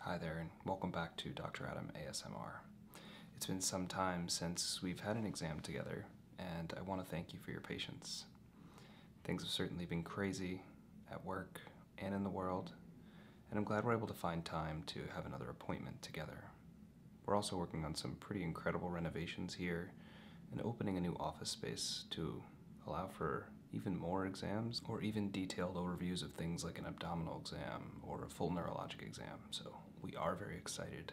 Hi there, and welcome back to Dr. Adam ASMR. It's been some time since we've had an exam together, and I want to thank you for your patience. Things have certainly been crazy at work and in the world, and I'm glad we're able to find time to have another appointment together. We're also working on some pretty incredible renovations here and opening a new office space to allow for even more exams, or even detailed overviews of things like an abdominal exam or a full neurologic exam. So we are very excited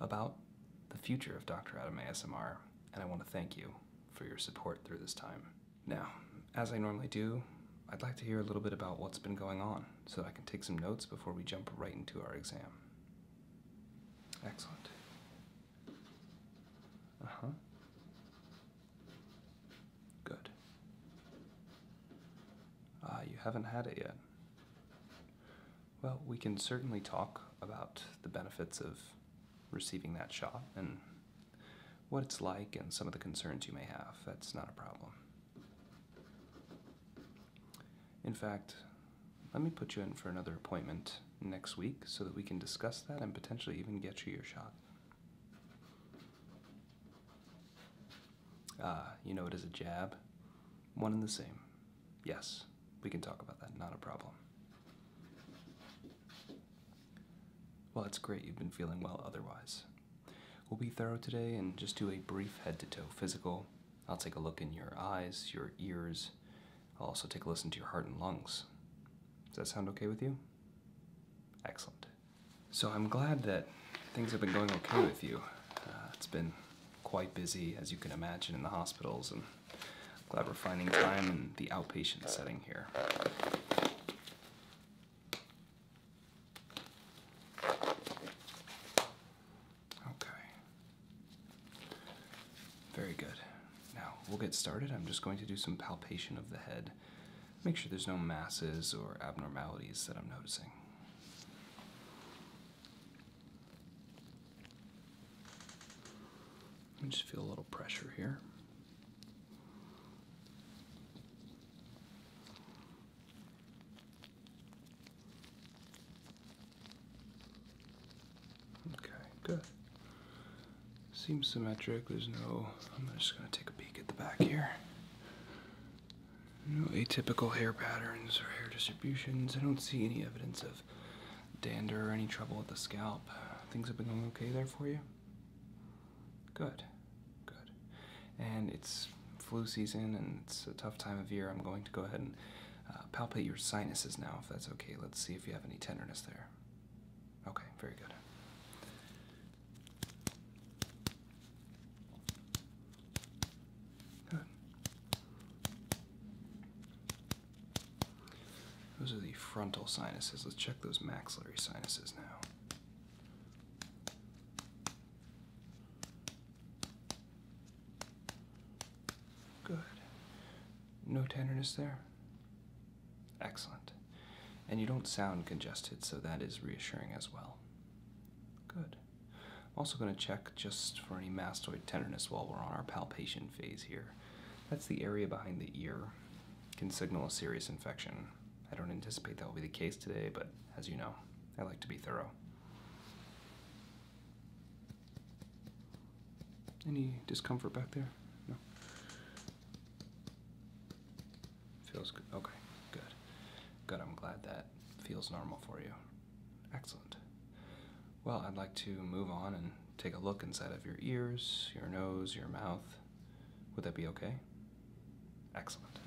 about the future of Dr. Adam ASMR, and I want to thank you for your support through this time. Now, as I normally do, I'd like to hear a little bit about what's been going on so I can take some notes before we jump right into our exam. Excellent. Uh huh. Good. Ah, you haven't had it yet. Well, we can certainly talk about the benefits of receiving that shot and what it's like and some of the concerns you may have. That's not a problem. In fact, let me put you in for another appointment next week so that we can discuss that and potentially even get you your shot. Ah, you know it is a jab. One and the same. Yes, we can talk about that, not a problem. Well, it's great you've been feeling well otherwise. We'll be thorough today and just do a brief head to toe physical. I'll take a look in your eyes, your ears. I'll also take a listen to your heart and lungs. Does that sound okay with you? Excellent. So I'm glad that things have been going okay with you. Uh, it's been quite busy, as you can imagine, in the hospitals, and I'm glad we're finding time in the outpatient setting here. Okay. Very good. Now, we'll get started. I'm just going to do some palpation of the head make sure there's no masses or abnormalities that I'm noticing. I just feel a little pressure here. Okay, good. Seems symmetric. There's no. I'm just going to take a peek at the back here. No atypical hair patterns or hair distributions. I don't see any evidence of dander or any trouble with the scalp. Things have been going okay there for you? Good. Good. And it's flu season and it's a tough time of year. I'm going to go ahead and uh, palpate your sinuses now if that's okay. Let's see if you have any tenderness there. Okay, very good. Those are the frontal sinuses. Let's check those maxillary sinuses now. Good. No tenderness there? Excellent. And you don't sound congested, so that is reassuring as well. Good. I'm also going to check just for any mastoid tenderness while we're on our palpation phase here. That's the area behind the ear. can signal a serious infection. I don't anticipate that will be the case today, but as you know, I like to be thorough. Any discomfort back there? No. Feels good. Okay, good. Good, I'm glad that feels normal for you. Excellent. Well, I'd like to move on and take a look inside of your ears, your nose, your mouth. Would that be okay? Excellent.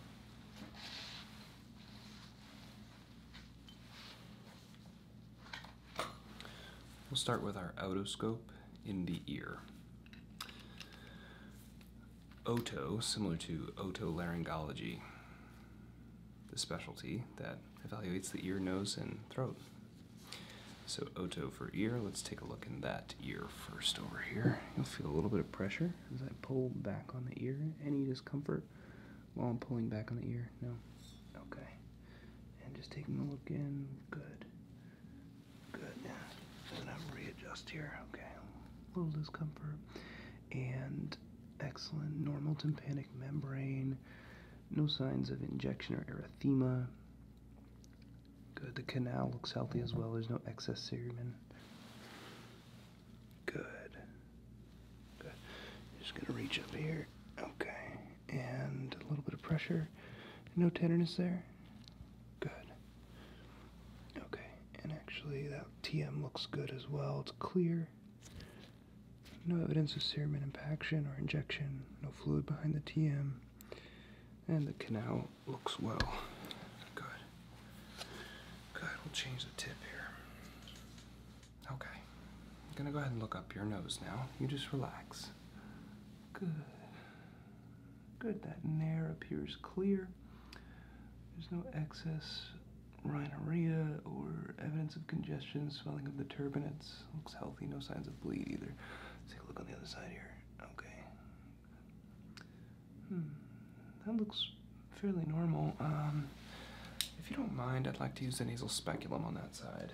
We'll start with our otoscope in the ear oto, similar to otolaryngology, the specialty that evaluates the ear, nose, and throat. So oto for ear, let's take a look in that ear first over here. You'll feel a little bit of pressure as I pull back on the ear. Any discomfort while I'm pulling back on the ear? No? Okay. And just taking a look in, good. Good. And I'm readjust here. Okay. A little discomfort. And excellent. Normal tympanic membrane. No signs of injection or erythema. Good. The canal looks healthy as well. There's no excess serumen. Good. Good. Just gonna reach up here. Okay. And a little bit of pressure. No tenderness there. Good. Okay, and actually that TM looks good as well. It's clear. No evidence of serum impaction or injection, no fluid behind the TM, and the canal looks well. Good. Good, we'll change the tip here. Okay, I'm gonna go ahead and look up your nose now. You just relax. Good. Good, that nair appears clear. There's no excess rhinorrhea or evidence of congestion, swelling of the turbinates. Looks healthy, no signs of bleed either. Let's take a look on the other side here. Okay. Hmm. That looks fairly normal. Um, if you don't mind, I'd like to use the nasal speculum on that side.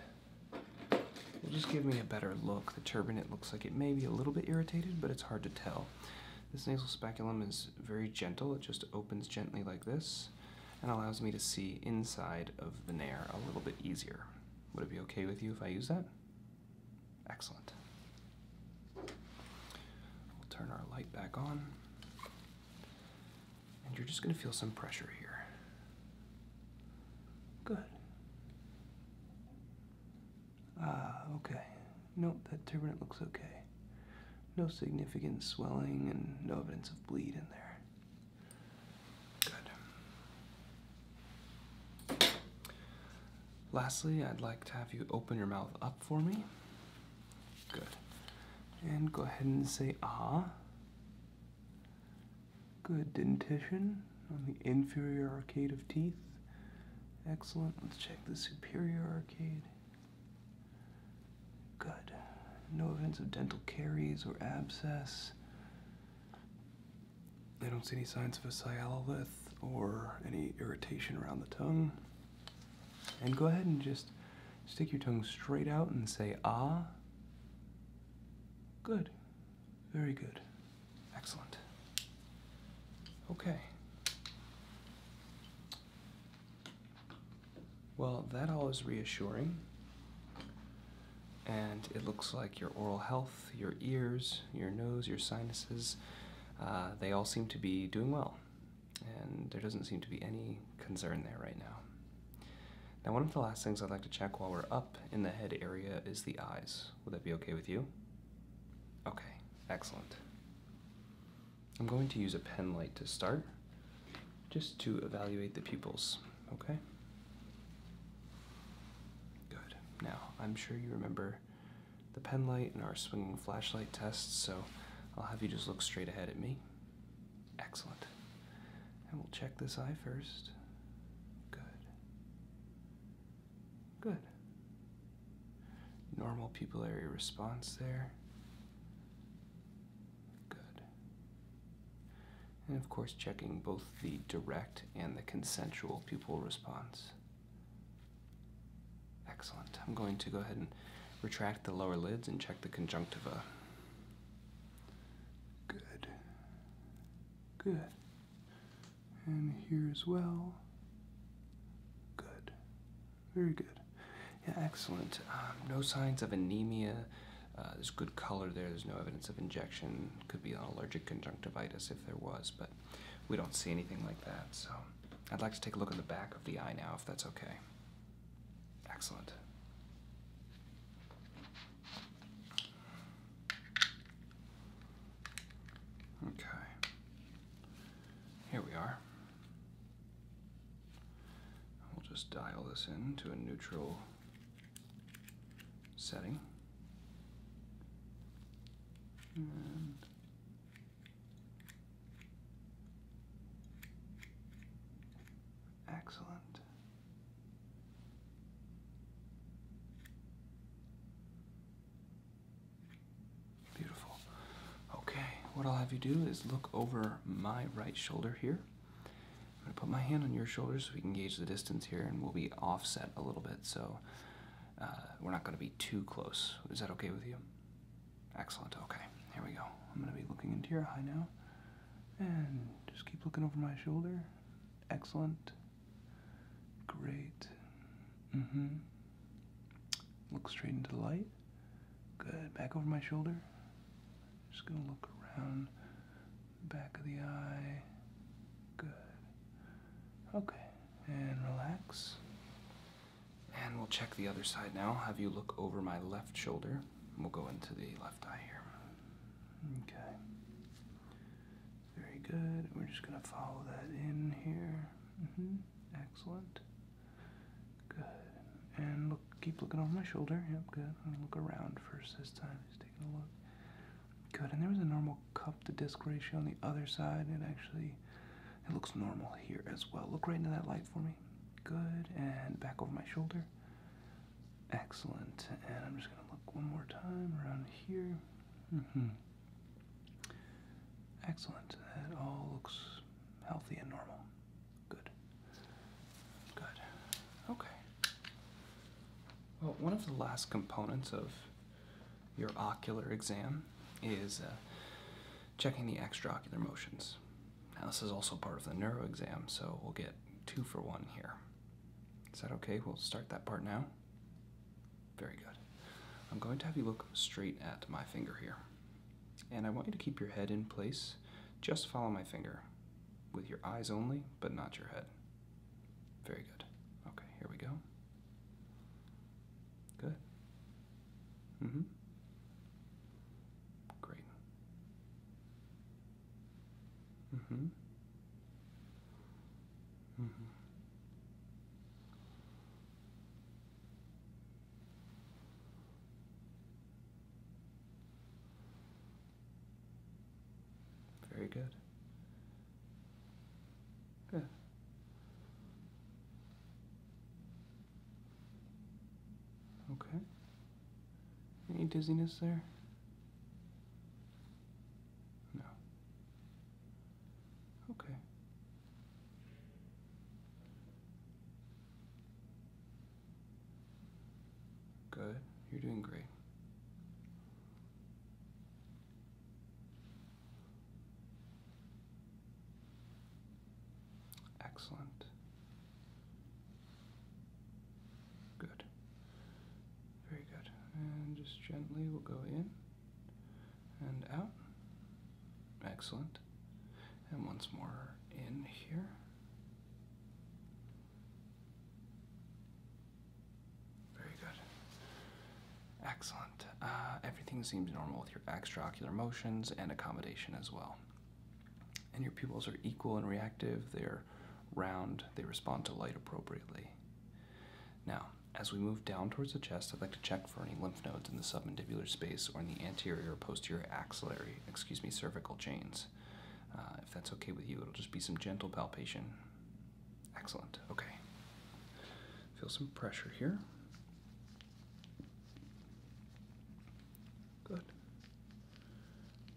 It'll just give me a better look. The turbinet looks like it may be a little bit irritated, but it's hard to tell. This nasal speculum is very gentle. It just opens gently like this and allows me to see inside of the nair a little bit easier. Would it be okay with you if I use that? Excellent. We'll turn our light back on. And you're just going to feel some pressure here. Good. Ah, okay. Nope, that turbinate looks okay. No significant swelling and no evidence of bleed in there. Good. Lastly, I'd like to have you open your mouth up for me. Good. And go ahead and say ah. Good dentition on the inferior arcade of teeth. Excellent. Let's check the Superior Arcade. Good. No events of dental caries or abscess. I don't see any signs of a sialolith or any irritation around the tongue. And go ahead and just stick your tongue straight out and say ah. Good. Very good. Excellent. Okay. Well, that all is reassuring. And it looks like your oral health, your ears, your nose, your sinuses, uh, they all seem to be doing well. And there doesn't seem to be any concern there right now. Now, one of the last things I'd like to check while we're up in the head area is the eyes. Would that be okay with you? Okay, excellent. I'm going to use a pen light to start, just to evaluate the pupils, okay? Good. Now, I'm sure you remember the pen light and our swinging flashlight tests, so I'll have you just look straight ahead at me. Excellent. And we'll check this eye first. Good. Good. Normal pupillary response there. Good. And of course, checking both the direct and the consensual pupil response. Excellent. I'm going to go ahead and retract the lower lids and check the conjunctiva. Good. Good and here as well. Good. Very good. Yeah, excellent. Um, no signs of anemia. Uh, there's good color there. There's no evidence of injection. Could be an allergic conjunctivitis if there was, but we don't see anything like that. So I'd like to take a look at the back of the eye now, if that's okay. Excellent. Okay. Here we are. We'll just dial this in to a neutral setting. Excellent. Beautiful. Okay, what I'll have you do is look over my right shoulder here. I'm going to put my hand on your shoulder so we can gauge the distance here, and we'll be offset a little bit, so uh, we're not going to be too close. Is that okay with you? Excellent. Okay, here we go. I'm going to be looking into your eye now, and just keep looking over my shoulder. Excellent. Great. Mm hmm. Look straight into the light. Good. Back over my shoulder. Just going to look around the back of the eye. Good. Okay. And relax. And we'll check the other side now. Have you look over my left shoulder. We'll go into the left eye here. Okay. Very good. We're just going to follow that in here. -hmm. Excellent. Good. And look, keep looking over my shoulder. Yep, good. I'm gonna look around first this time. He's taking a look. Good. And there was a normal cup to disc ratio on the other side. It actually, it looks normal here as well. Look right into that light for me. Good. And back over my shoulder. Excellent. And I'm just gonna look one more time around here. Mm-hmm. Excellent. That all looks healthy and normal. Good. Good. Okay. Well, one of the last components of your ocular exam is uh, checking the extraocular motions. Now, this is also part of the neuro exam, so we'll get two for one here. Is that okay? We'll start that part now. Very good. I'm going to have you look straight at my finger here. And I want you to keep your head in place. Just follow my finger with your eyes only, but not your head. Very good. Okay, here we go. Good. Mm hmm. Great. Mm hmm. Mm hmm. Very good. Good. Okay. Any dizziness there? No. Okay. Good. You're doing great. Excellent. Good. Very good. And just gently we'll go in and out. Excellent. And once more in here. Very good. Excellent. Uh, everything seems normal with your extraocular motions and accommodation as well. And your pupils are equal and reactive. They're round. They respond to light appropriately. Now, as we move down towards the chest, I'd like to check for any lymph nodes in the submandibular space or in the anterior posterior axillary, excuse me, cervical chains. Uh, if that's okay with you, it'll just be some gentle palpation. Excellent. Okay. Feel some pressure here. Good.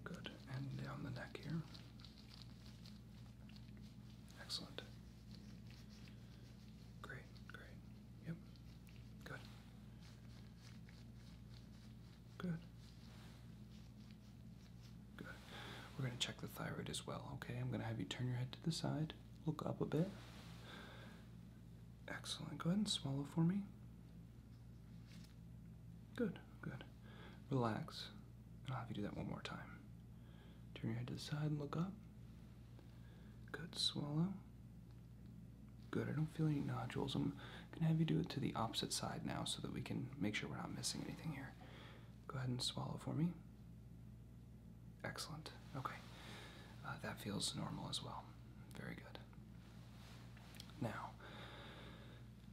Good. And down the neck here. Excellent. Great, great. Yep. Good. Good. Good. We're going to check the thyroid as well, okay? I'm going to have you turn your head to the side, look up a bit. Excellent. Go ahead and swallow for me. Good, good. Relax. I'll have you do that one more time. Turn your head to the side and look up. Good, swallow. Good, I don't feel any nodules. I'm gonna have you do it to the opposite side now so that we can make sure we're not missing anything here. Go ahead and swallow for me. Excellent, okay. Uh, that feels normal as well. Very good. Now,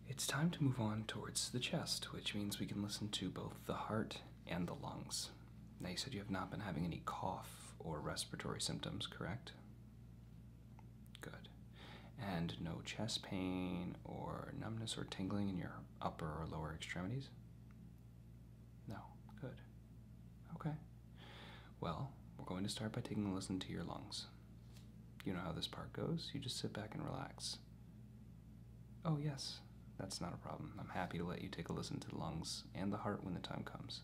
it's time to move on towards the chest, which means we can listen to both the heart and the lungs. Now, you said you have not been having any cough or respiratory symptoms, correct? Good. And no chest pain or numbness or tingling in your upper or lower extremities? No. Good. Okay. Well, we're going to start by taking a listen to your lungs. You know how this part goes. You just sit back and relax. Oh, yes. That's not a problem. I'm happy to let you take a listen to the lungs and the heart when the time comes.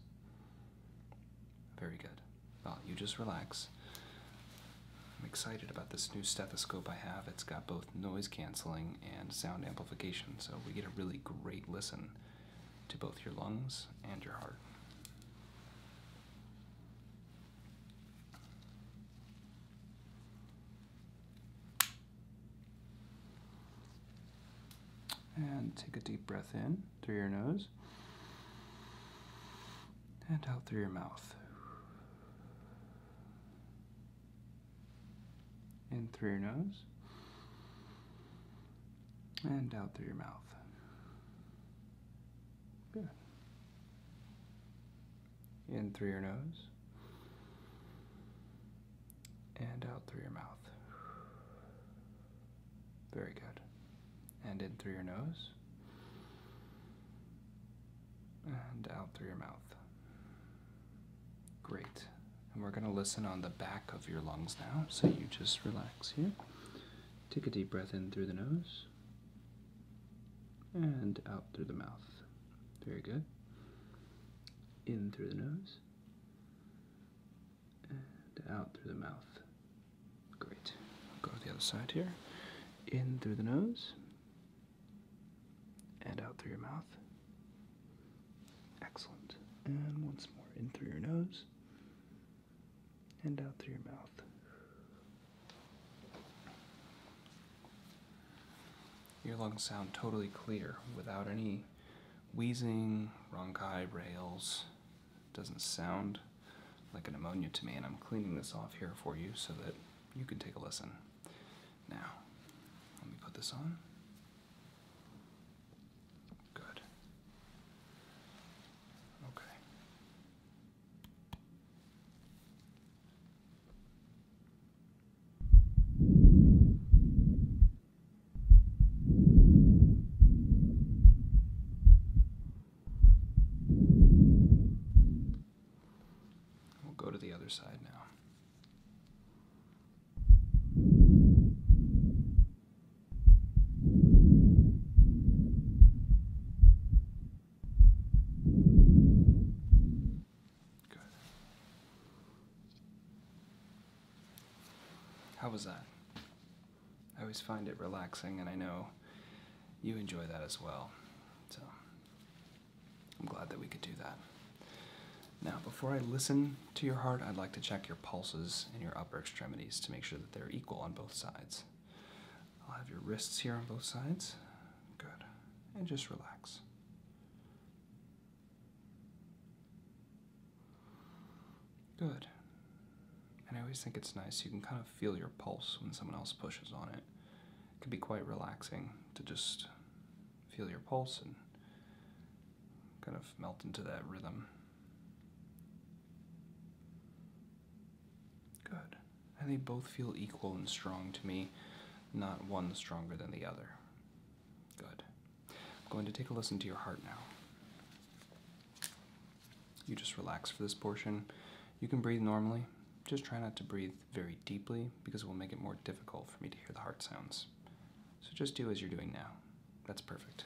Very good. Well, you just relax. I'm excited about this new stethoscope I have. It's got both noise canceling and sound amplification, so we get a really great listen to both your lungs and your heart. And take a deep breath in through your nose and out through your mouth. In through your nose and out through your mouth. Good. In through your nose and out through your mouth. Very good. And in through your nose. And out through your mouth. Great. And we're going to listen on the back of your lungs now, so you just relax here. Take a deep breath in through the nose and out through the mouth. Very good. In through the nose and out through the mouth. Great. go to the other side here. In through the nose and out through your mouth. Excellent. And once more, in through your nose and out through your mouth. Your lungs sound totally clear without any wheezing, ronchi, rails. Doesn't sound like an pneumonia to me, and I'm cleaning this off here for you so that you can take a listen. Now, let me put this on. Good. Okay. We'll go to the other side now. Good. How was that? I always find it relaxing, and I know you enjoy that as well. So I'm glad that we could do that. Now, before I listen to your heart, I'd like to check your pulses and your upper extremities to make sure that they're equal on both sides. I'll have your wrists here on both sides. Good. And just relax. Good. And I always think it's nice. You can kind of feel your pulse when someone else pushes on it. It can be quite relaxing to just feel your pulse and kind of melt into that rhythm. Good. And they both feel equal and strong to me, not one stronger than the other. Good. I'm going to take a listen to your heart now. You just relax for this portion. You can breathe normally. Just try not to breathe very deeply because it will make it more difficult for me to hear the heart sounds. So just do as you're doing now. That's perfect.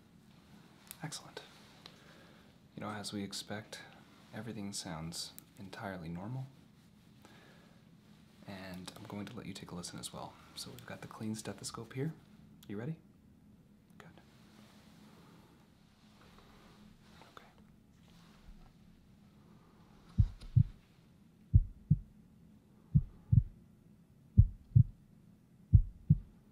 Excellent. You know, as we expect, everything sounds entirely normal. And I'm going to let you take a listen as well. So we've got the clean stethoscope here. You ready? Good. Okay.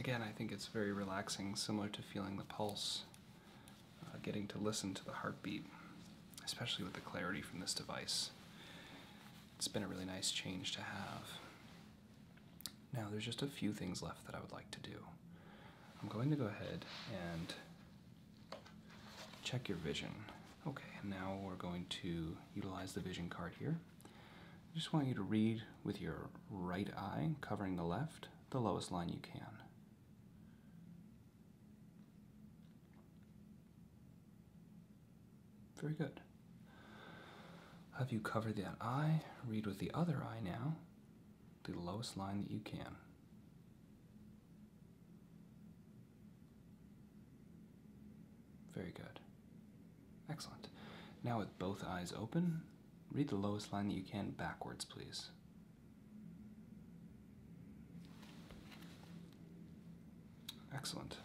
Again, I think it's very relaxing, similar to feeling the pulse, uh, getting to listen to the heartbeat, especially with the clarity from this device. It's been a really nice change to have. Now, there's just a few things left that I would like to do. I'm going to go ahead and check your vision. Okay, now we're going to utilize the vision card here. I just want you to read with your right eye, covering the left, the lowest line you can. Very good. Have you covered that eye? Read with the other eye now, the lowest line that you can. Very good. Excellent. Now with both eyes open, Read the lowest line that you can backwards, please. Excellent.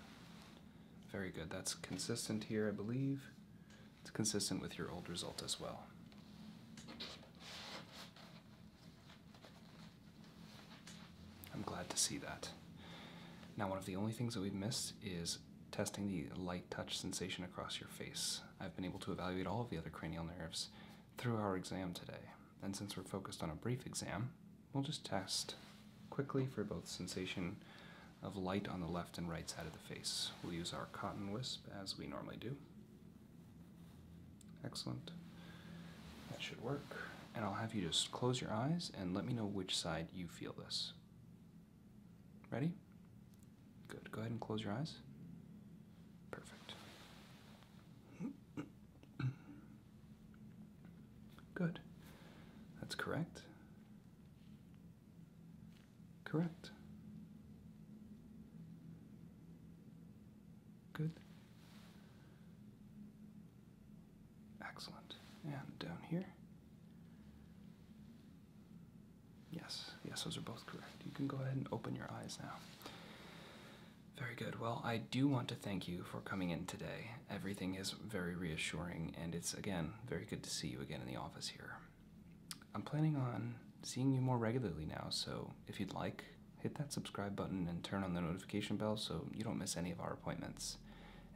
Very good. That's consistent here, I believe. It's consistent with your old result as well. I'm glad to see that. Now, one of the only things that we've missed is testing the light touch sensation across your face. I've been able to evaluate all of the other cranial nerves through our exam today. And since we're focused on a brief exam, we'll just test quickly for both sensation of light on the left and right side of the face. We'll use our cotton wisp as we normally do. Excellent. That should work. And I'll have you just close your eyes and let me know which side you feel this. Ready? Good. Go ahead and close your eyes. Perfect. Good. That's correct. Correct. Good. Excellent. And down here. Yes, yes, those are both correct. You can go ahead and open your eyes now. Very good. Well, I do want to thank you for coming in today. Everything is very reassuring, and it's, again, very good to see you again in the office here. I'm planning on seeing you more regularly now, so if you'd like, hit that subscribe button and turn on the notification bell so you don't miss any of our appointments.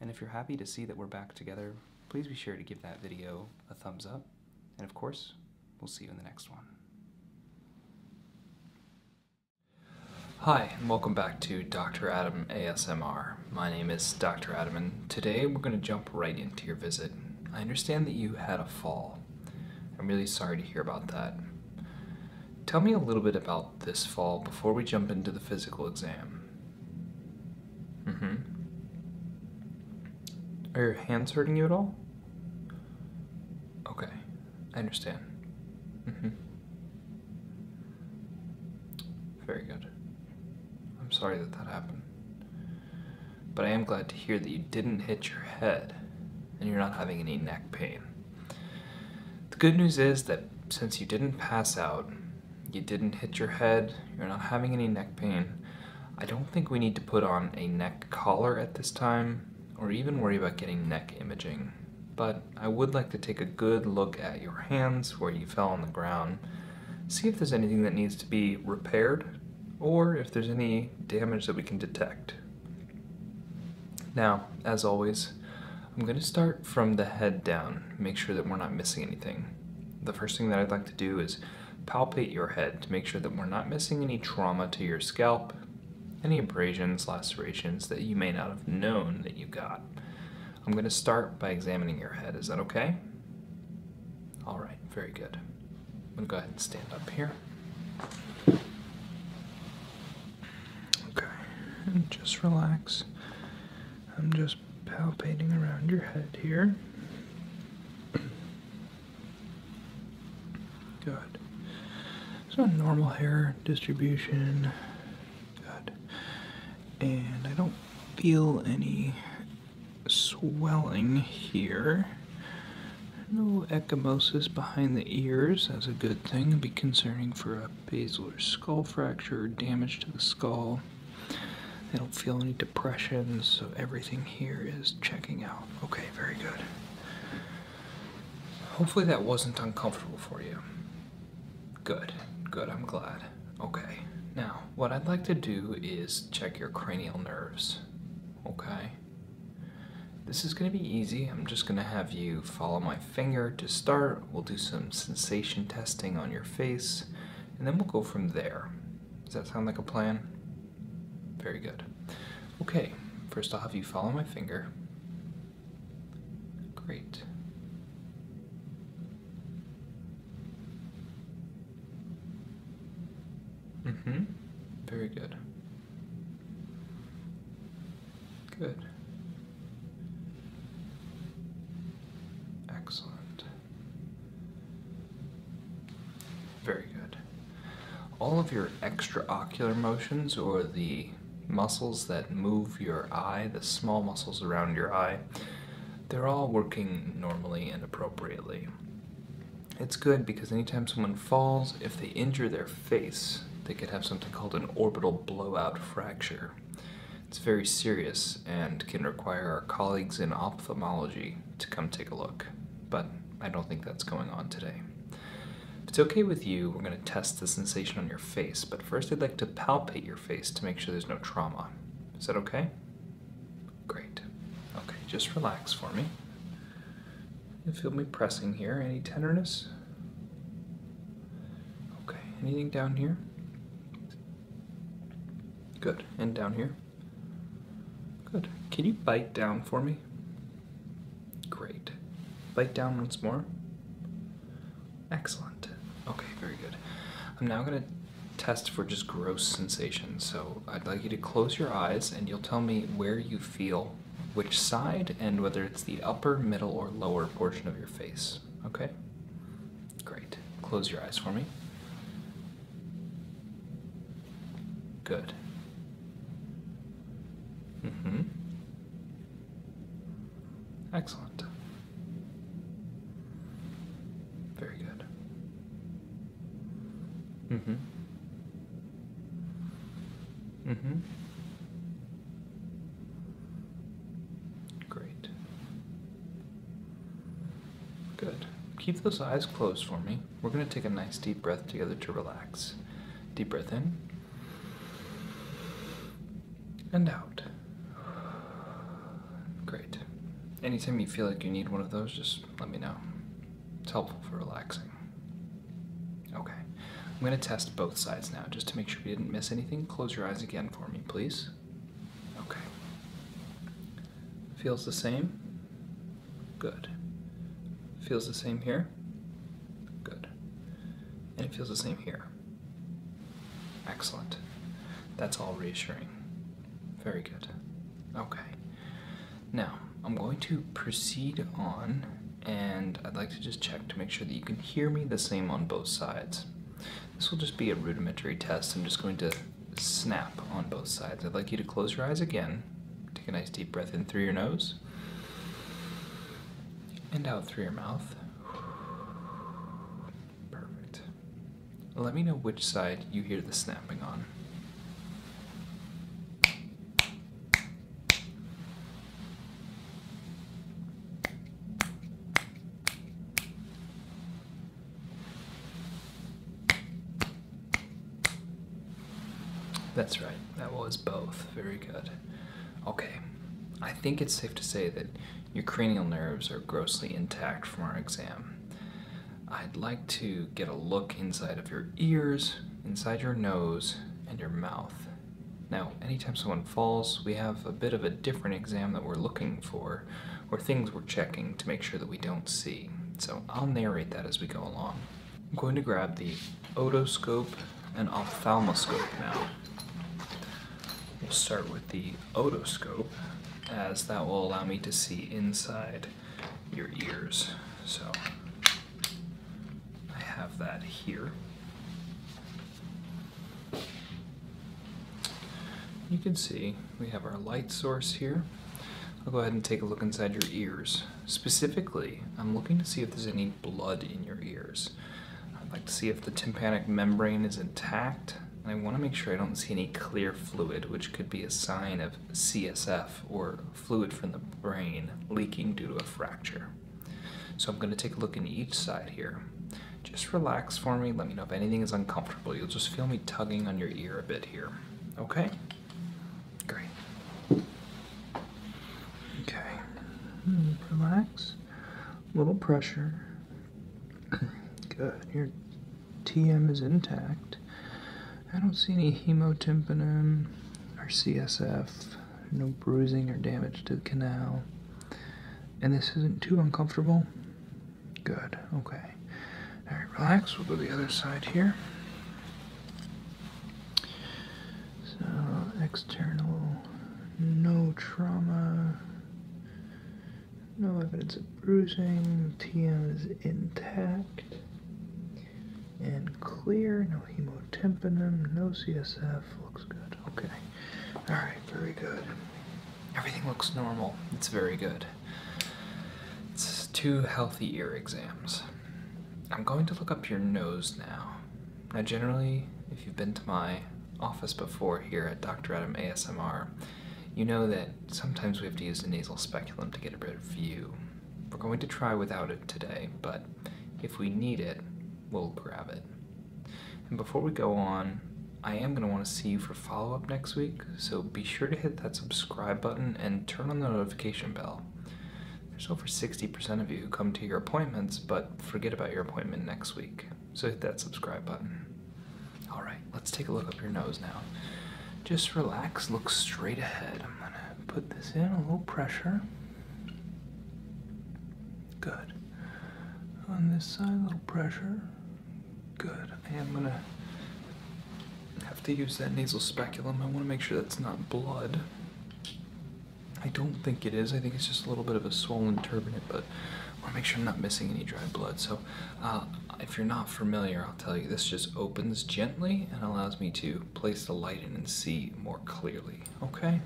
And if you're happy to see that we're back together, please be sure to give that video a thumbs up and of course, we'll see you in the next one. Hi, and welcome back to Dr. Adam ASMR. My name is Dr. Adam, and today we're going to jump right into your visit. I understand that you had a fall. I'm really sorry to hear about that. Tell me a little bit about this fall before we jump into the physical exam. Mm-hmm. Are your hands hurting you at all? Okay, I understand. Mm-hmm. Very good. I'm sorry that that happened. But I am glad to hear that you didn't hit your head and you're not having any neck pain. The good news is that since you didn't pass out, you didn't hit your head, you're not having any neck pain, I don't think we need to put on a neck collar at this time, or even worry about getting neck imaging, but I would like to take a good look at your hands where you fell on the ground, see if there's anything that needs to be repaired, or if there's any damage that we can detect. Now, as always, I'm going to start from the head down, make sure that we're not missing anything. The first thing that I'd like to do is palpate your head to make sure that we're not missing any trauma to your scalp, any abrasions, lacerations that you may not have known that you got. I'm going to start by examining your head. Is that okay? All right, very good. I'm going to go ahead and stand up here. Okay, just relax. I'm just palpating around your head here. Good. So normal hair distribution. Good. And I don't feel any swelling here. No ecchymosis behind the ears. That's a good thing. It'd be concerning for a basilar skull fracture or damage to the skull. They don't feel any depressions, so everything here is checking out. Okay, very good. Hopefully that wasn't uncomfortable for you. Good, good, I'm glad. Okay, now what I'd like to do is check your cranial nerves, okay? This is gonna be easy. I'm just gonna have you follow my finger to start. We'll do some sensation testing on your face, and then we'll go from there. Does that sound like a plan? Very good. Okay, first I'll have you follow my finger. Great. Mm-hmm. Very good. Good. Excellent. Very good. All of your extraocular motions, or the muscles that move your eye, the small muscles around your eye, they're all working normally and appropriately. It's good because anytime someone falls, if they injure their face, they could have something called an orbital blowout fracture. It's very serious and can require our colleagues in ophthalmology to come take a look but I don't think that's going on today. If it's okay with you, we're going to test the sensation on your face, but first I'd like to palpate your face to make sure there's no trauma. Is that okay? Great. Okay, just relax for me. You feel me pressing here. Any tenderness? Okay, anything down here? Good. And down here? Good. Can you bite down for me? Great. Bite down once more. Excellent. Okay, very good. I'm now going to test for just gross sensations. So I'd like you to close your eyes and you'll tell me where you feel which side and whether it's the upper, middle, or lower portion of your face. Okay? Great. Close your eyes for me. Good. Mm-hmm. Excellent. Very good. Mm-hmm. Mm-hmm. Great. Good. Keep those eyes closed for me. We're going to take a nice deep breath together to relax. Deep breath in and out. Great. Anytime you feel like you need one of those, just let me know. It's helpful for relaxing. Okay. I'm going to test both sides now just to make sure we didn't miss anything. Close your eyes again for me, please. Okay. Feels the same? Good. Feels the same here? Good. And it feels the same here. Excellent. That's all reassuring. Very good. Okay. Now, I'm going to proceed on and I'd like to just check to make sure that you can hear me the same on both sides. This will just be a rudimentary test. I'm just going to snap on both sides. I'd like you to close your eyes again. Take a nice deep breath in through your nose and out through your mouth. Perfect. Let me know which side you hear the snapping on. That's right, that was both. Very good. Okay, I think it's safe to say that your cranial nerves are grossly intact from our exam. I'd like to get a look inside of your ears, inside your nose, and your mouth. Now, anytime someone falls, we have a bit of a different exam that we're looking for, or things we're checking to make sure that we don't see. So I'll narrate that as we go along. I'm going to grab the otoscope and ophthalmoscope now. We'll start with the otoscope, as that will allow me to see inside your ears. So I have that here. You can see we have our light source here. I'll go ahead and take a look inside your ears. Specifically, I'm looking to see if there's any blood in your ears. I'd like to see if the tympanic membrane is intact, and I want to make sure I don't see any clear fluid, which could be a sign of CSF, or fluid from the brain, leaking due to a fracture. So I'm going to take a look in each side here. Just relax for me, let me know if anything is uncomfortable. You'll just feel me tugging on your ear a bit here, okay? Great. Okay. Relax. A little pressure. Good. Your TM is intact. I don't see any hemotympanum or CSF. No bruising or damage to the canal. And this isn't too uncomfortable? Good. Okay. All right, relax. We'll go the other side here. So, external, no trauma, no evidence of bruising, TM is intact and clear, no hemotympanum, no CSF, looks good. Okay. All right, very good. Everything looks normal. It's very good. It's two healthy ear exams. I'm going to look up your nose now. Now, generally, if you've been to my office before here at Dr. Adam ASMR, you know that sometimes we have to use the nasal speculum to get a better view. We're going to try without it today, but if we need it, we'll grab it. And before we go on, I am going to want to see you for follow up next week, so be sure to hit that subscribe button and turn on the notification bell. There's over 60% of you who come to your appointments but forget about your appointment next week, so hit that subscribe button. Alright, let's take a look up your nose now. Just relax, look straight ahead. I'm gonna put this in, a little pressure. Good. On this side, a little pressure. Good. I am gonna have to use that nasal speculum. I want to make sure that's not blood. I don't think it is. I think it's just a little bit of a swollen turbinet, but I want to make sure I'm not missing any dried blood. So, uh, if you're not familiar, I'll tell you this just opens gently and allows me to place the light in and see more clearly. Okay?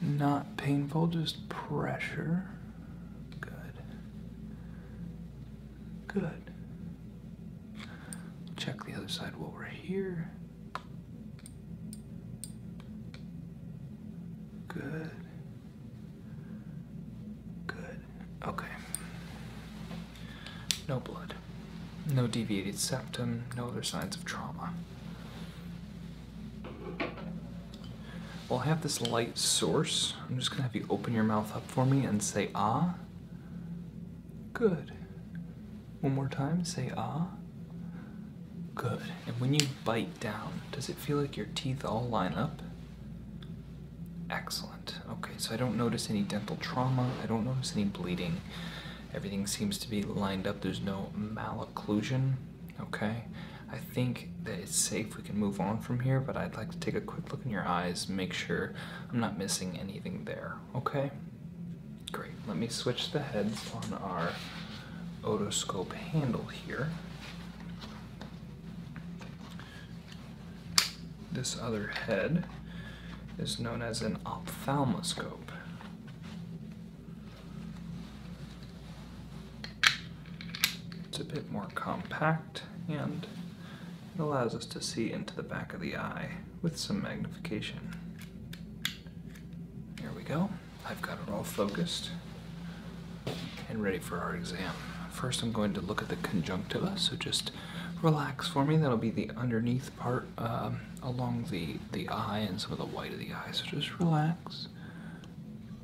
Not painful, just pressure. Good. Good. Check the other side while we're here. Good. Good. Okay. No blood. No deviated septum. No other signs of trauma. Well, I have this light source. I'm just going to have you open your mouth up for me and say ah. Good. One more time, say ah. Good. And when you bite down, does it feel like your teeth all line up? Excellent. Okay, so I don't notice any dental trauma, I don't notice any bleeding. Everything seems to be lined up, there's no malocclusion. Okay, I think that it's safe, we can move on from here, but I'd like to take a quick look in your eyes, make sure I'm not missing anything there, okay? Great, let me switch the heads on our otoscope handle here. This other head is known as an ophthalmoscope. It's a bit more compact and it allows us to see into the back of the eye with some magnification. Here we go. I've got it all focused and ready for our exam. First I'm going to look at the conjunctiva, so just relax for me. That'll be the underneath part um, along the, the eye and some of the white of the eye, so just relax.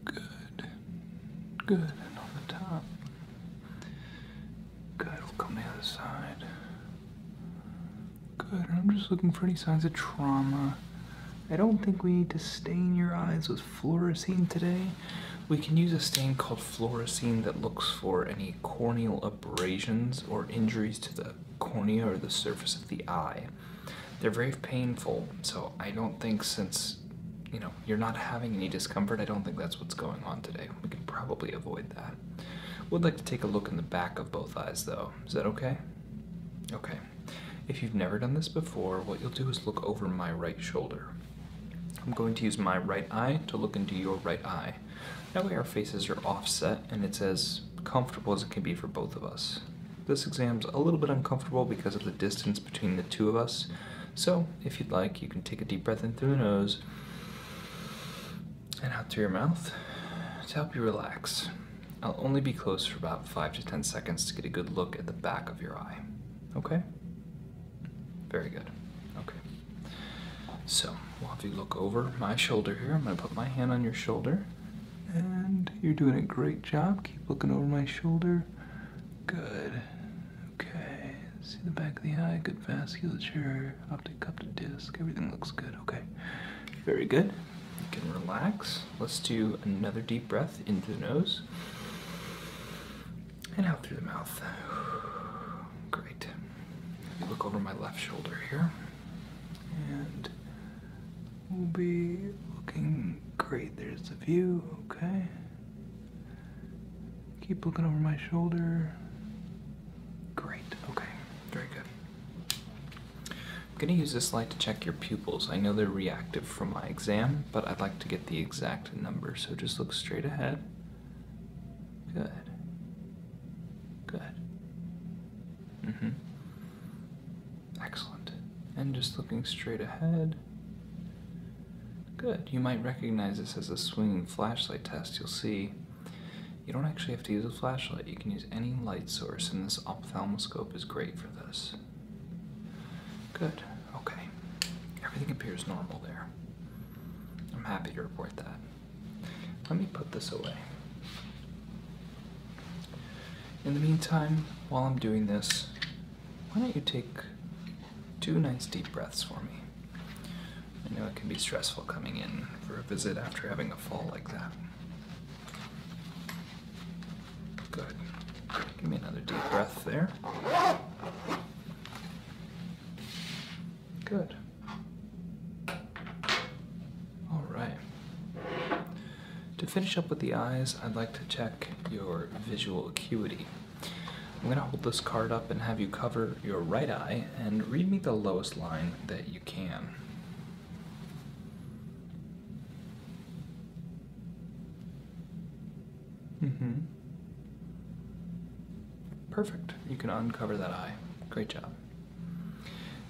Good, good, and on the top. Good, we'll come the other side. Good, I'm just looking for any signs of trauma. I don't think we need to stain your eyes with fluorescein today. We can use a stain called fluorescein that looks for any corneal abrasions or injuries to the cornea or the surface of the eye. They're very painful, so I don't think since, you know, you're not having any discomfort, I don't think that's what's going on today. We can probably avoid that. Would like to take a look in the back of both eyes though. Is that okay? Okay. If you've never done this before, what you'll do is look over my right shoulder. I'm going to use my right eye to look into your right eye. That way our faces are offset and it's as comfortable as it can be for both of us. This exam's a little bit uncomfortable because of the distance between the two of us, so if you'd like, you can take a deep breath in through the nose and out through your mouth to help you relax. I'll only be close for about 5 to 10 seconds to get a good look at the back of your eye. Okay? Very good. Okay. So, we'll have you look over my shoulder here. I'm going to put my hand on your shoulder. And you're doing a great job. Keep looking over my shoulder. Good. Okay, see the back of the eye, good vasculature, optic cup to disc, everything looks good. Okay, very good. You can relax. Let's do another deep breath into the nose and out through the mouth. Great. Look over my left shoulder here, and we'll be looking great. There's a view. Okay. Keep looking over my shoulder. Great, okay, very good. I'm gonna use this light to check your pupils. I know they're reactive for my exam, but I'd like to get the exact number, so just look straight ahead. Good. Good. Mm-hmm. Excellent. And just looking straight ahead. Good. You might recognize this as a swinging flashlight test. You'll see you don't actually have to use a flashlight, you can use any light source, and this ophthalmoscope is great for this. Good, okay. Everything appears normal there. I'm happy to report that. Let me put this away. In the meantime, while I'm doing this, why don't you take two nice deep breaths for me? I know it can be stressful coming in for a visit after having a fall like that. Good. Give me another deep breath there. Good. All right. To finish up with the eyes, I'd like to check your visual acuity. I'm going to hold this card up and have you cover your right eye and read me the lowest line that you can. hmm. Perfect. You can uncover that eye. Great job.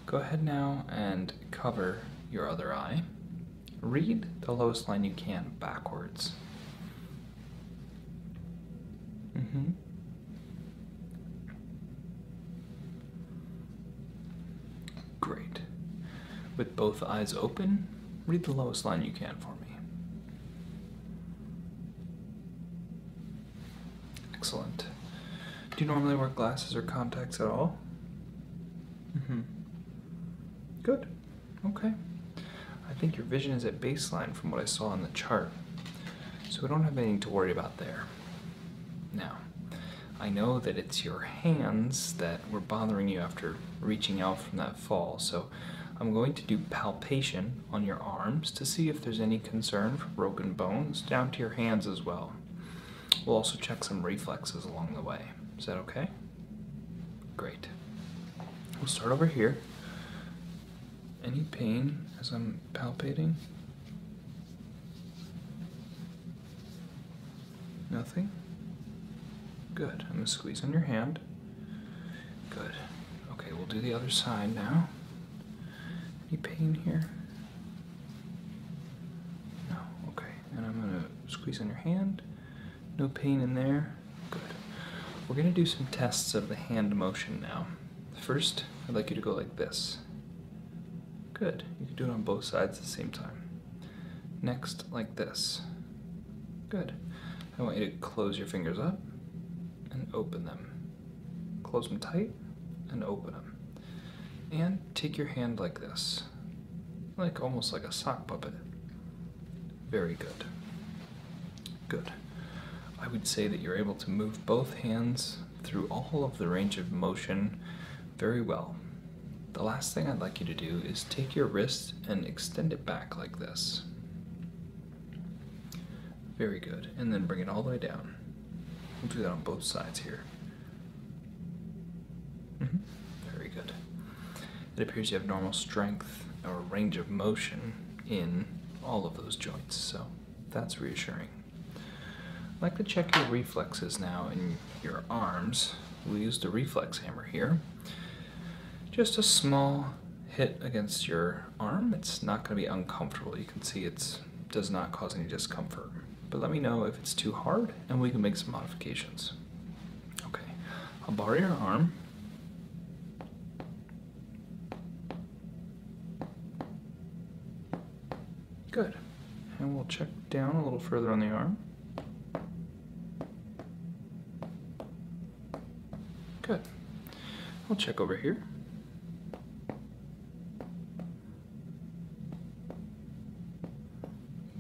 Go ahead now and cover your other eye. Read the lowest line you can backwards. Mm-hmm. Great. With both eyes open, read the lowest line you can for me. Excellent. Do you normally wear glasses or contacts at all? Mm-hmm. Good. Okay. I think your vision is at baseline from what I saw on the chart. So we don't have anything to worry about there. Now, I know that it's your hands that were bothering you after reaching out from that fall, so I'm going to do palpation on your arms to see if there's any concern for broken bones down to your hands as well. We'll also check some reflexes along the way. Is that okay? Great. We'll start over here. Any pain as I'm palpating? Nothing? Good. I'm going to squeeze on your hand. Good. Okay, we'll do the other side now. Any pain here? No. Okay. And I'm going to squeeze on your hand. No pain in there. Good. We're going to do some tests of the hand motion now. First, I'd like you to go like this. Good, you can do it on both sides at the same time. Next, like this. Good. I want you to close your fingers up and open them. Close them tight and open them. And take your hand like this, like almost like a sock puppet. Very good. Good. I would say that you're able to move both hands through all of the range of motion very well. The last thing I'd like you to do is take your wrist and extend it back like this. Very good. And then bring it all the way down. We'll do that on both sides here. Mm-hmm. Very good. It appears you have normal strength or range of motion in all of those joints, so that's reassuring. I'd like to check your reflexes now in your arms. We'll use the reflex hammer here. Just a small hit against your arm. It's not going to be uncomfortable. You can see it does not cause any discomfort. But let me know if it's too hard and we can make some modifications. Okay, I'll borrow your arm. Good. And we'll check down a little further on the arm. Good. we will check over here.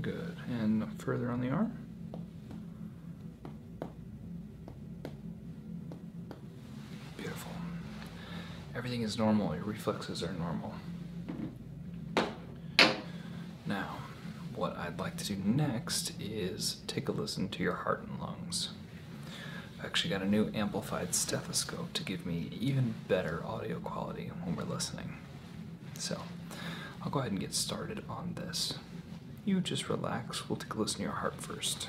Good. And further on the arm. Beautiful. Everything is normal. Your reflexes are normal. Now, what I'd like to do next is take a listen to your heart and lungs. I've actually got a new amplified stethoscope to give me even better audio quality when we're listening. So, I'll go ahead and get started on this. You just relax, we'll take a listen to your heart first.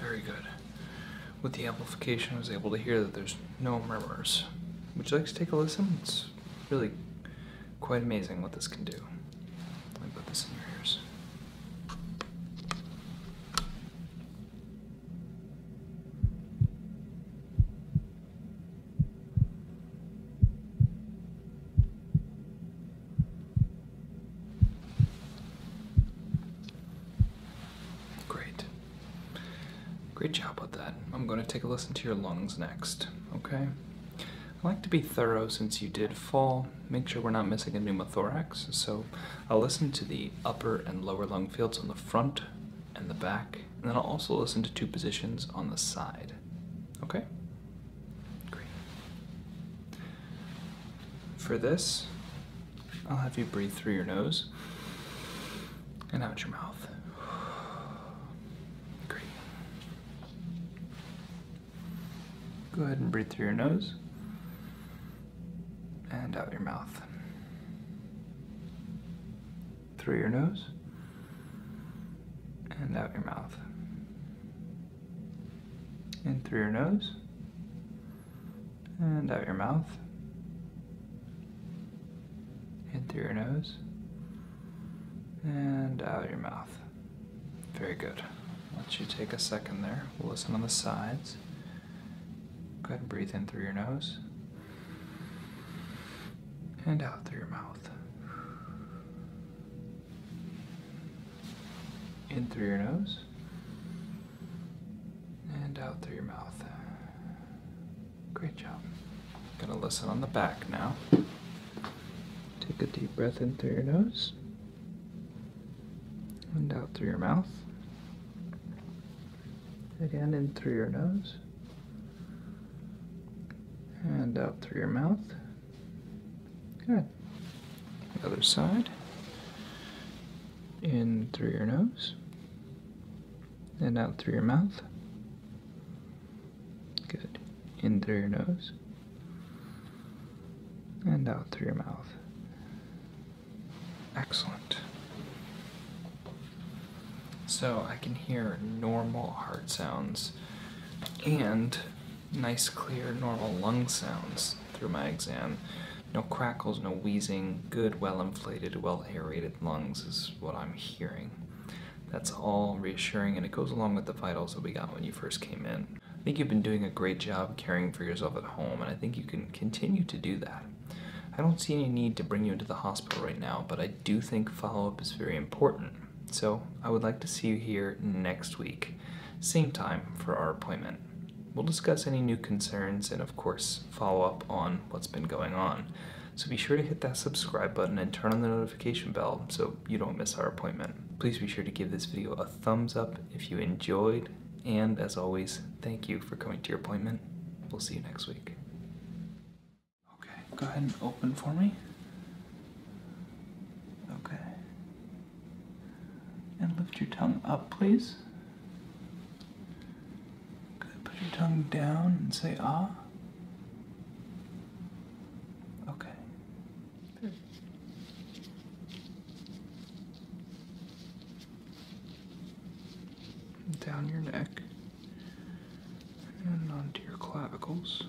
Very good. With the amplification, I was able to hear that there's no murmurs. Would you like to take a listen? It's really quite amazing what this can do. Let me put this in your ears. Great. Great job with that. I'm going to take a listen to your lungs next, okay? I like to be thorough since you did fall. Make sure we're not missing a pneumothorax, so I'll listen to the upper and lower lung fields on the front and the back, and then I'll also listen to two positions on the side. Okay? Great. For this, I'll have you breathe through your nose and out your mouth. Great. Go ahead and breathe through your nose and out your mouth. Through your nose and out your mouth. In through your nose and out your mouth. In through your nose and out your mouth. Very good. Let's you take a second there, we'll listen on the sides. Go ahead and breathe in through your nose and out through your mouth. In through your nose and out through your mouth. Great job. Gonna listen on the back now. Take a deep breath in through your nose and out through your mouth. Again, in through your nose. And out through your mouth. Good. other side. In through your nose. And out through your mouth. Good. In through your nose. And out through your mouth. Excellent. So I can hear normal heart sounds and nice, clear, normal lung sounds through my exam. No crackles, no wheezing, good, well inflated, well aerated lungs is what I'm hearing. That's all reassuring and it goes along with the vitals that we got when you first came in. I think you've been doing a great job caring for yourself at home and I think you can continue to do that. I don't see any need to bring you into the hospital right now, but I do think follow up is very important. So I would like to see you here next week, same time for our appointment. We'll discuss any new concerns and, of course, follow up on what's been going on. So be sure to hit that subscribe button and turn on the notification bell so you don't miss our appointment. Please be sure to give this video a thumbs up if you enjoyed and as always, thank you for coming to your appointment. We'll see you next week. Okay, go ahead and open for me. Okay. And lift your tongue up, please. Good. Put your tongue down and say ah. Okay. Hmm down your neck and onto your clavicles.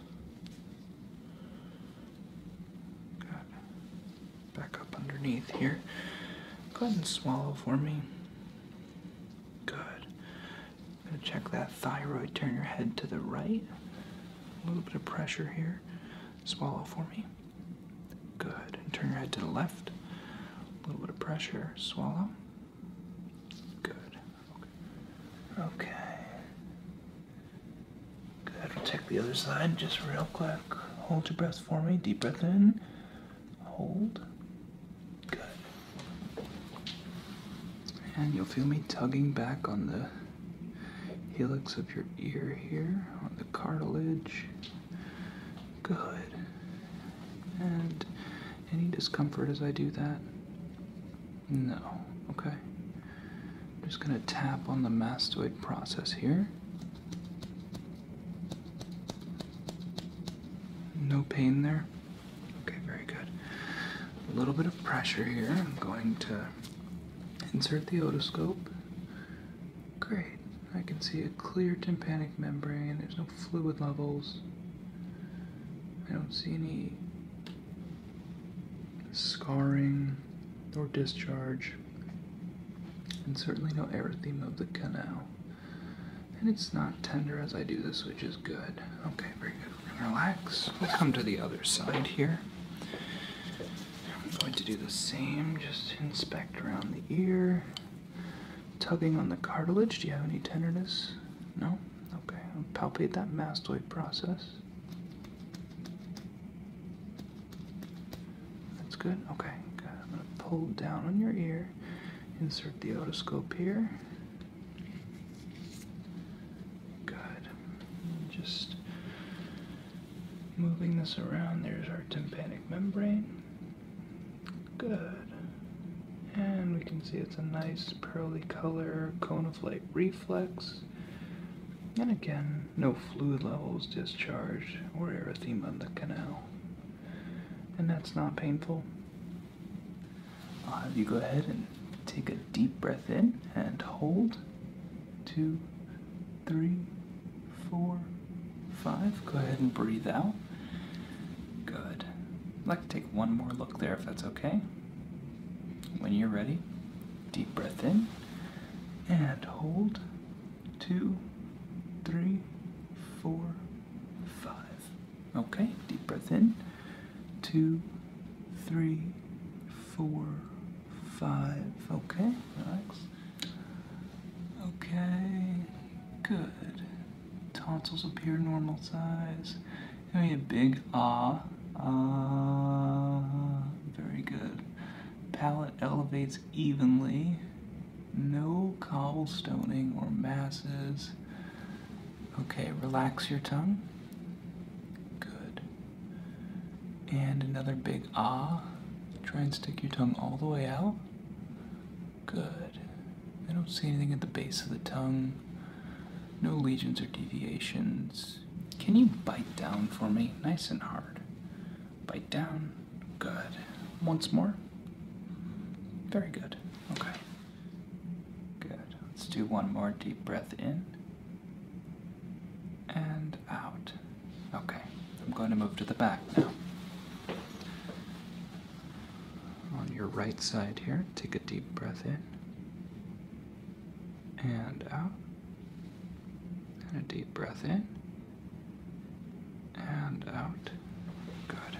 Good. Back up underneath here. Go ahead and swallow for me. Good. going to check that thyroid. Turn your head to the right. A little bit of pressure here. Swallow for me. Good. turn your head to the left. A little bit of pressure. Swallow. Good. Okay. okay. Good. We'll take the other side just real quick. Hold your breath for me. Deep breath in. Hold. Good. And you'll feel me tugging back on the helix of your ear here, on the cartilage good. And any discomfort as I do that? No. Okay. just going to tap on the mastoid process here. No pain there? Okay, very good. A little bit of pressure here. I'm going to insert the otoscope Great. I can see a clear tympanic membrane. There's no fluid levels. I don't see any scarring or discharge, and certainly no erythema of the canal. And it's not tender as I do this, which is good. Okay, very good. We're gonna relax. We'll come to the other side here. I'm going to do the same, just inspect around the ear. Tugging on the cartilage, do you have any tenderness? No? Okay, palpate that mastoid process. That's good? Okay, good. I'm going to pull down on your ear, insert the otoscope here. Good. just moving this around, there's our tympanic membrane. Good. And we can see it's a nice pearly color, cone of light reflex. And again, no fluid levels discharged or erythema in the canal. And that's not painful. I'll have you go ahead and take a deep breath in and hold. Two, three, four, five. Go ahead and breathe out. Good. I'd like to take one more look there if that's okay. When you're ready, deep breath in and hold. Two, three, four, five. Okay, deep breath in. Two, three, four, five. Okay, relax. Okay, Good. Tonsils appear normal size. Give me a big ah. Ah. Very good. Palate elevates evenly. No cobblestoning or masses. Okay, relax your tongue. Good. And another big ah. Try and stick your tongue all the way out. Good. I don't see anything at the base of the tongue. No lesions or deviations. Can you bite down for me? Nice and hard. Bite down. Good. Once more. Very good. Okay. Good. Let's do one more deep breath in and out. Okay. I'm going to move to the back now on your right side here. Take a deep breath in and out, and a deep breath in and out. Good.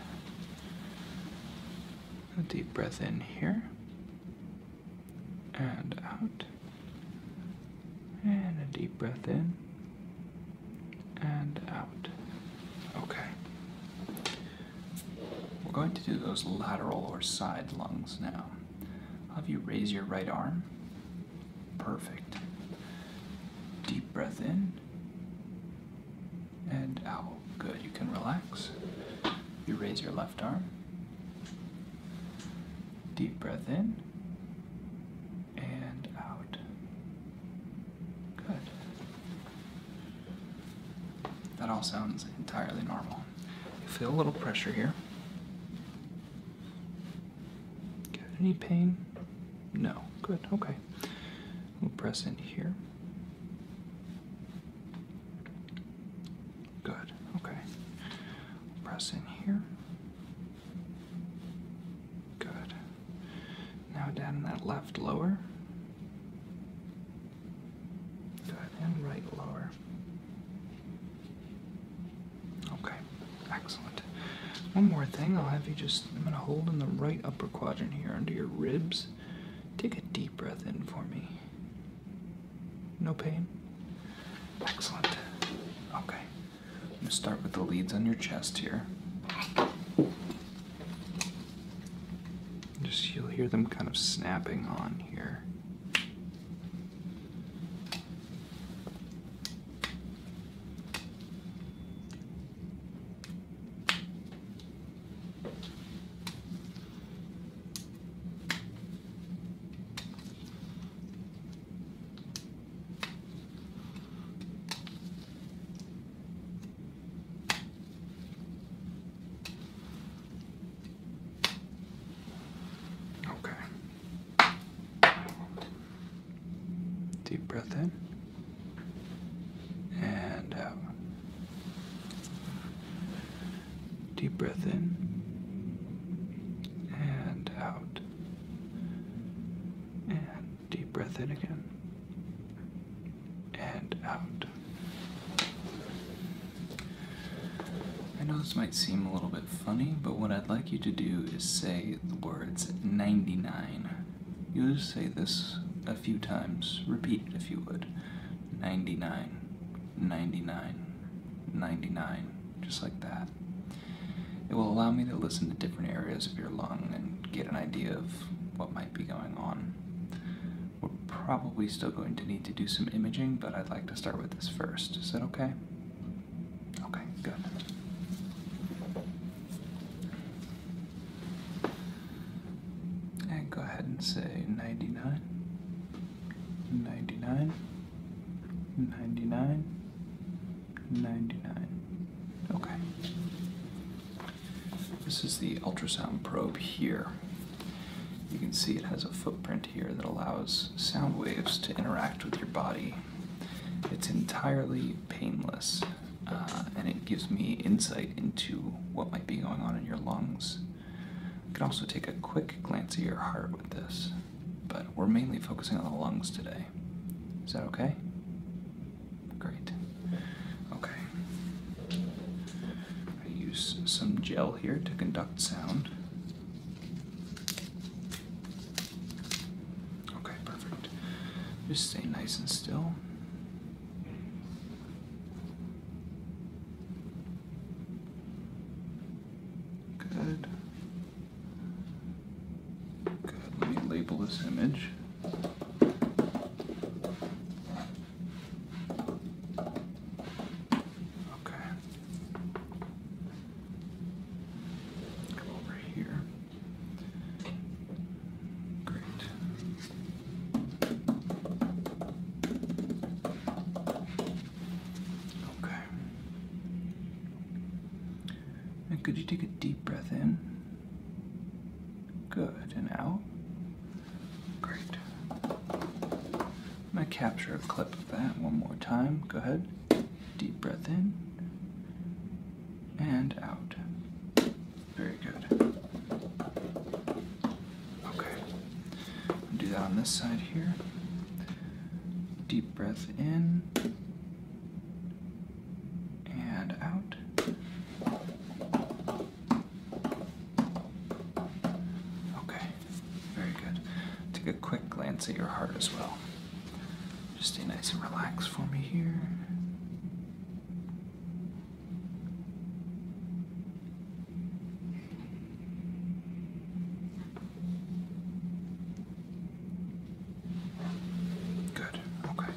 A deep breath in here and out, and a deep breath in and out. Okay. We're going to do those lateral or side lungs now. have you raise your right arm. Perfect. Deep breath in and out. Good. You can relax. You raise your left arm. Deep breath in and out. Good. That all sounds entirely normal. You feel a little pressure here. any pain? No. Good. Okay. We'll press in here. Good. Okay. We'll press in here. Good. Now down in that left lower. Good, and right lower. Okay, excellent. One more thing, I'll have you just, I'm gonna hold in the right upper quadrant here under your ribs. Take a deep breath in for me. No pain? Excellent. Okay. I'm start with the leads on your chest here. Just you'll hear them kind of snapping on here. Okay. Deep breath in and out. Deep breath in and out and Deep breath in again. And out. I know this might seem a little bit funny, but what I'd like you to do is say the words 99. You'll say this a few times. Repeat it if you would. 99, 99, 99. Just like that. It will allow me to listen to different areas of your lung and get an idea of what might be going on. We're probably still going to need to do some imaging, but I'd like to start with this first. Is that okay? Okay, good. And go ahead and say 99, 99, 99, 99. Okay. This is the ultrasound probe here. You can see it has a footprint here that allows sound waves to interact with your body. It's entirely painless uh, and it gives me insight into what might be going on in your lungs. You can also take a quick glance at your heart with this, but we're mainly focusing on the lungs today. Is that okay? Great. Okay. I use some gel here to conduct sound. Okay, perfect. Just stay nice and still. Good let me label this image. Okay. Go over here. Great. Okay. And could you take a deep breath in? Good, and out. Great. I'm gonna capture a clip of that one more time. Go ahead. Deep breath in and out. Very good. Okay. do that on this side here. Deep breath in and out. Okay, very good. Take a quick glance at your heart as well. Just stay nice and relaxed for me here. Good, okay.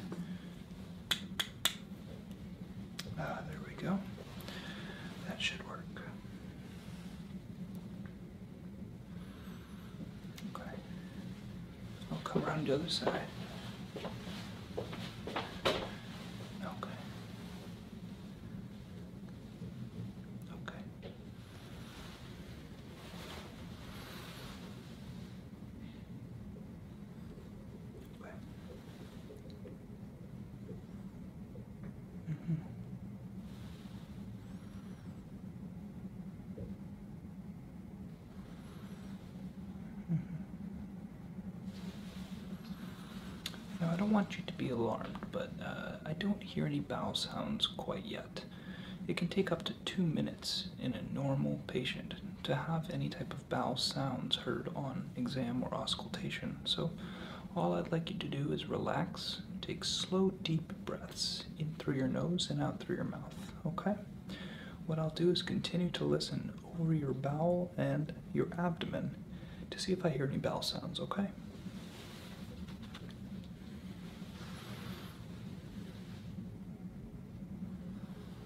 Ah, there we go. That should work. Okay. I'll come around the other side. Okay. Okay. Okay. Mm -hmm. Mm Now, I don't want you to be alarmed, but uh, I don't hear any bowel sounds quite yet. It can take up to two minutes in a normal patient to have any type of bowel sounds heard on exam or auscultation. So, all I'd like you to do is relax, take slow, deep breaths in through your nose and out through your mouth. Okay? What I'll do is continue to listen over your bowel and your abdomen to see if I hear any bowel sounds, okay?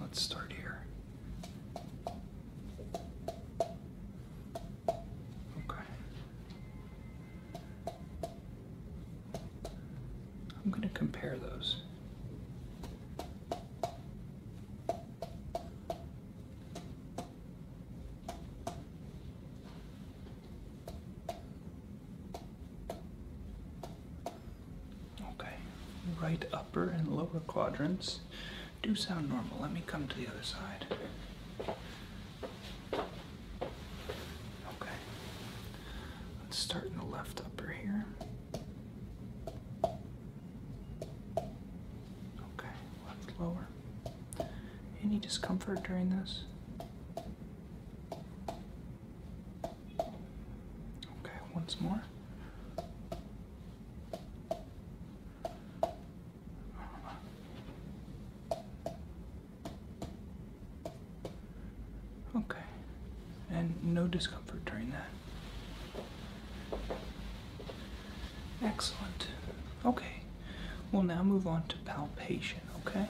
Let's start here. Okay. I'm going to compare those. Okay, right upper and lower quadrants do sound normal. Let me come to the other side. Okay, let's start in the left upper here. Okay, left lower. Any discomfort during this? Okay, once more. Okay, and no discomfort during that. Excellent. Okay, we'll now move on to palpation, okay?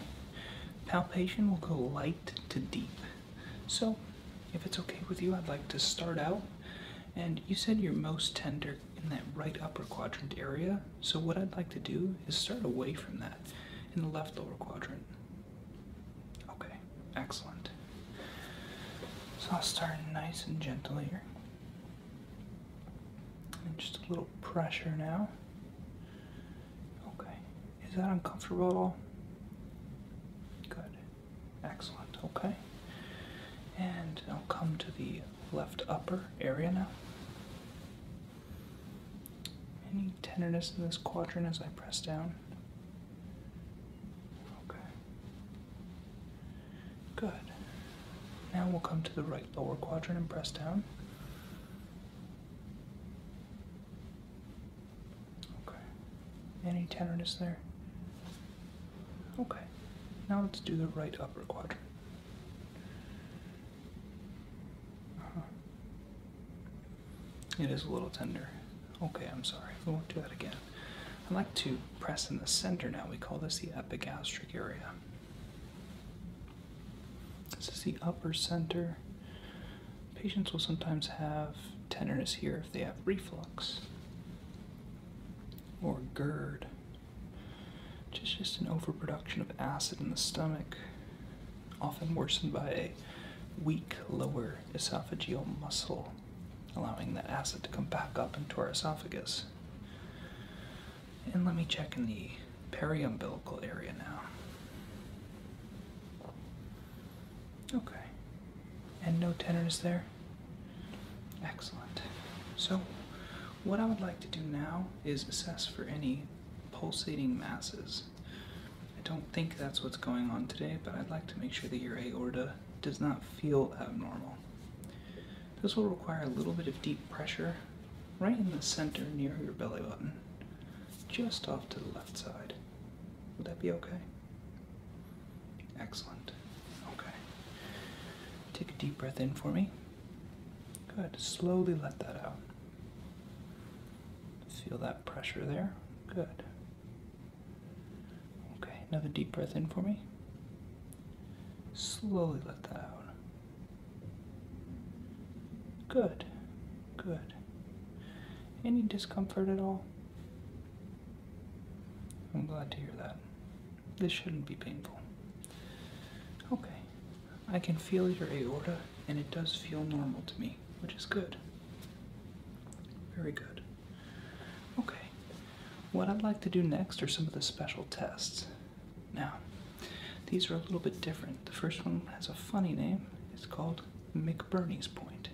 Palpation will go light to deep. So, if it's okay with you, I'd like to start out. And you said you're most tender in that right upper quadrant area. So, what I'd like to do is start away from that in the left lower quadrant. Okay, excellent. So, I'll start nice and gentle here. And just a little pressure now. Okay, is that uncomfortable at all? Good. Excellent, okay. And I'll come to the left upper area now. Any tenderness in this quadrant as I press down? Okay. Good. Now we'll come to the right lower quadrant and press down. Okay. Any tenderness there? Okay. Now let's do the right upper quadrant. Uh-huh. It is a little tender. Okay, I'm sorry. We won't do that again. i like to press in the center now. We call this the epigastric area. This is the upper center Patients will sometimes have tenderness here if they have reflux or GERD, which is just an overproduction of acid in the stomach, often worsened by a weak lower esophageal muscle, allowing that acid to come back up into our esophagus. And let me check in the periumbilical area now. Okay. And no tenors there? Excellent. So, what I would like to do now is assess for any pulsating masses. I don't think that's what's going on today, but I'd like to make sure that your aorta does not feel abnormal. This will require a little bit of deep pressure right in the center near your belly button, just off to the left side. Would that be okay? Excellent. Okay. Take a deep breath in for me. Good. Slowly let that out. Feel that pressure there. Good. Okay, another deep breath in for me. Slowly let that out. Good, good. Any discomfort at all? I'm glad to hear that. This shouldn't be painful. Okay, I can feel your aorta, and it does feel normal to me, which is good. Very good. Okay, what I'd like to do next are some of the special tests. Now, these are a little bit different. The first one has a funny name, it's called McBurney's Point.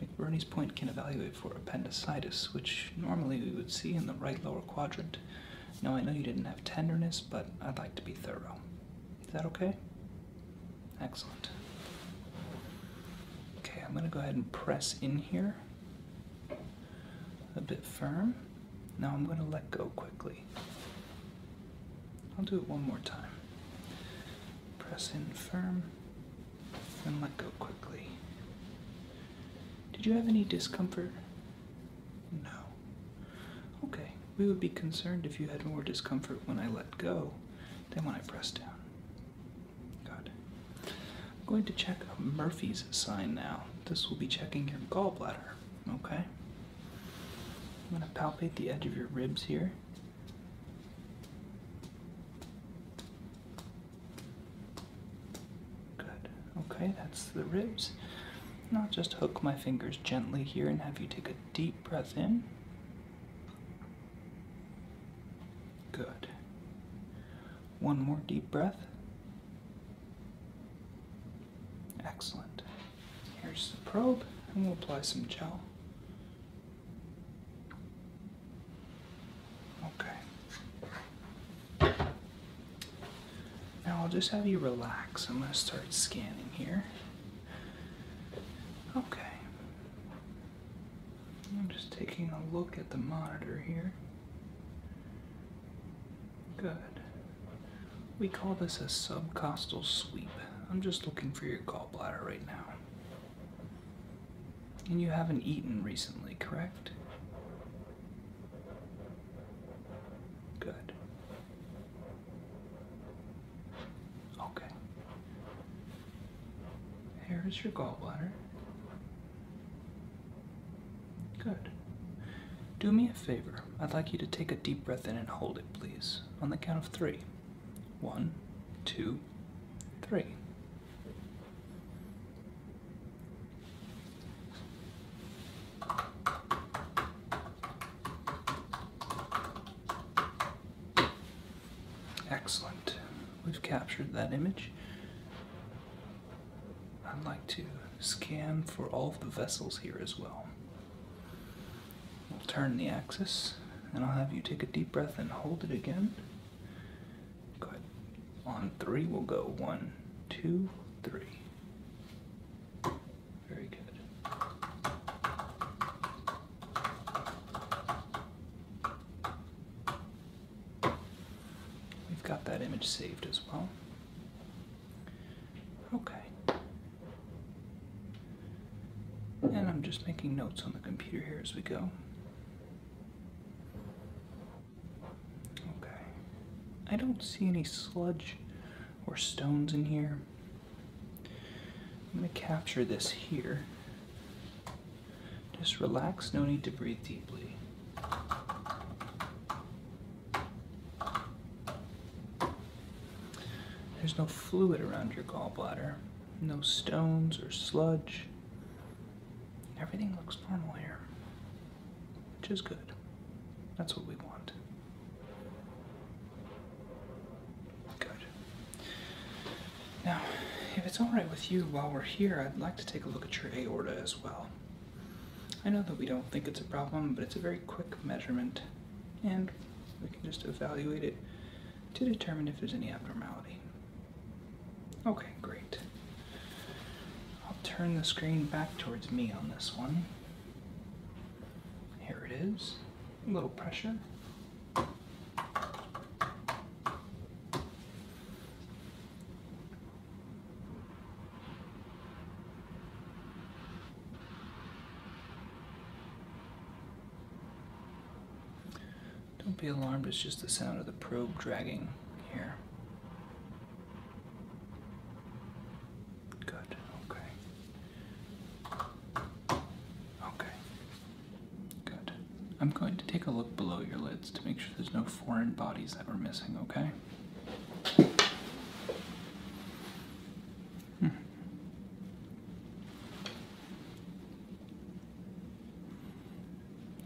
McBurney's point can evaluate for appendicitis, which normally we would see in the right lower quadrant. Now, I know you didn't have tenderness, but I'd like to be thorough. Is that okay? Excellent. Okay, I'm going to go ahead and press in here a bit firm. Now I'm going to let go quickly. I'll do it one more time. Press in firm, and let go quickly. Did you have any discomfort? No. Okay, we would be concerned if you had more discomfort when I let go than when I press down. Good. I'm going to check Murphy's sign now. This will be checking your gallbladder, okay? I'm going to palpate the edge of your ribs here. Good. Okay, that's the ribs. Now just hook my fingers gently here and have you take a deep breath in. Good. One more deep breath. Excellent. Here's the probe, and we'll apply some gel. Okay. Now I'll just have you relax. I'm going to start scanning here. Okay. I'm just taking a look at the monitor here. Good. We call this a subcostal sweep. I'm just looking for your gallbladder right now. And you haven't eaten recently, correct? Good. Okay. Here is your gallbladder. Good. Do me a favor. I'd like you to take a deep breath in and hold it, please, on the count of three. One, two, three. Excellent. We've captured that image. I'd like to scan for all of the vessels here as well. We'll turn the axis and I'll have you take a deep breath and hold it again. On three, we'll go one, two, three. Very good. We've got that image saved as well. Okay. And I'm just making notes on the computer here as we go. Okay. I don't see any sludge or stones in here. I'm going to capture this here. Just relax, no need to breathe deeply. There's no fluid around your gallbladder. No stones or sludge. Everything looks normal here, which is good. That's what we want. Good. Now, if it's alright with you while we're here, I'd like to take a look at your aorta as well. I know that we don't think it's a problem, but it's a very quick measurement, and we can just evaluate it to determine if there's any abnormality. Okay, great. I'll turn the screen back towards me on this one. Here it is. A little pressure. Don't be alarmed, it's just the sound of the probe dragging here. Good, okay. Okay, good. I'm going to take a look below your lids to make sure there's no foreign bodies that we're missing, okay? Hmm.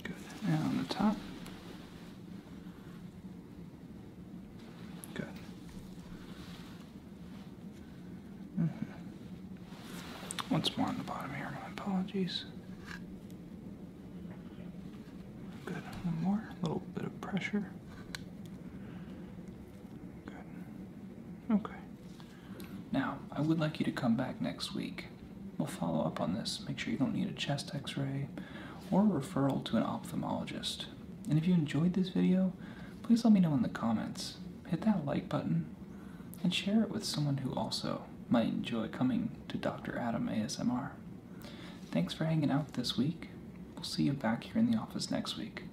Go that around the top. Good. Mm-hmm. Once more on the bottom here, my apologies. Good. One more. A little bit of pressure. Good. Okay. Now, I would like you to come back next week. We'll follow up on this, make sure you don't need a chest x ray or a referral to an ophthalmologist. And if you enjoyed this video, please let me know in the comments. Hit that like button and share it with someone who also might enjoy coming to Dr. Adam ASMR. Thanks for hanging out this week. We'll see you back here in the office next week.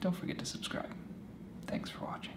Don't forget to subscribe. Thanks for watching.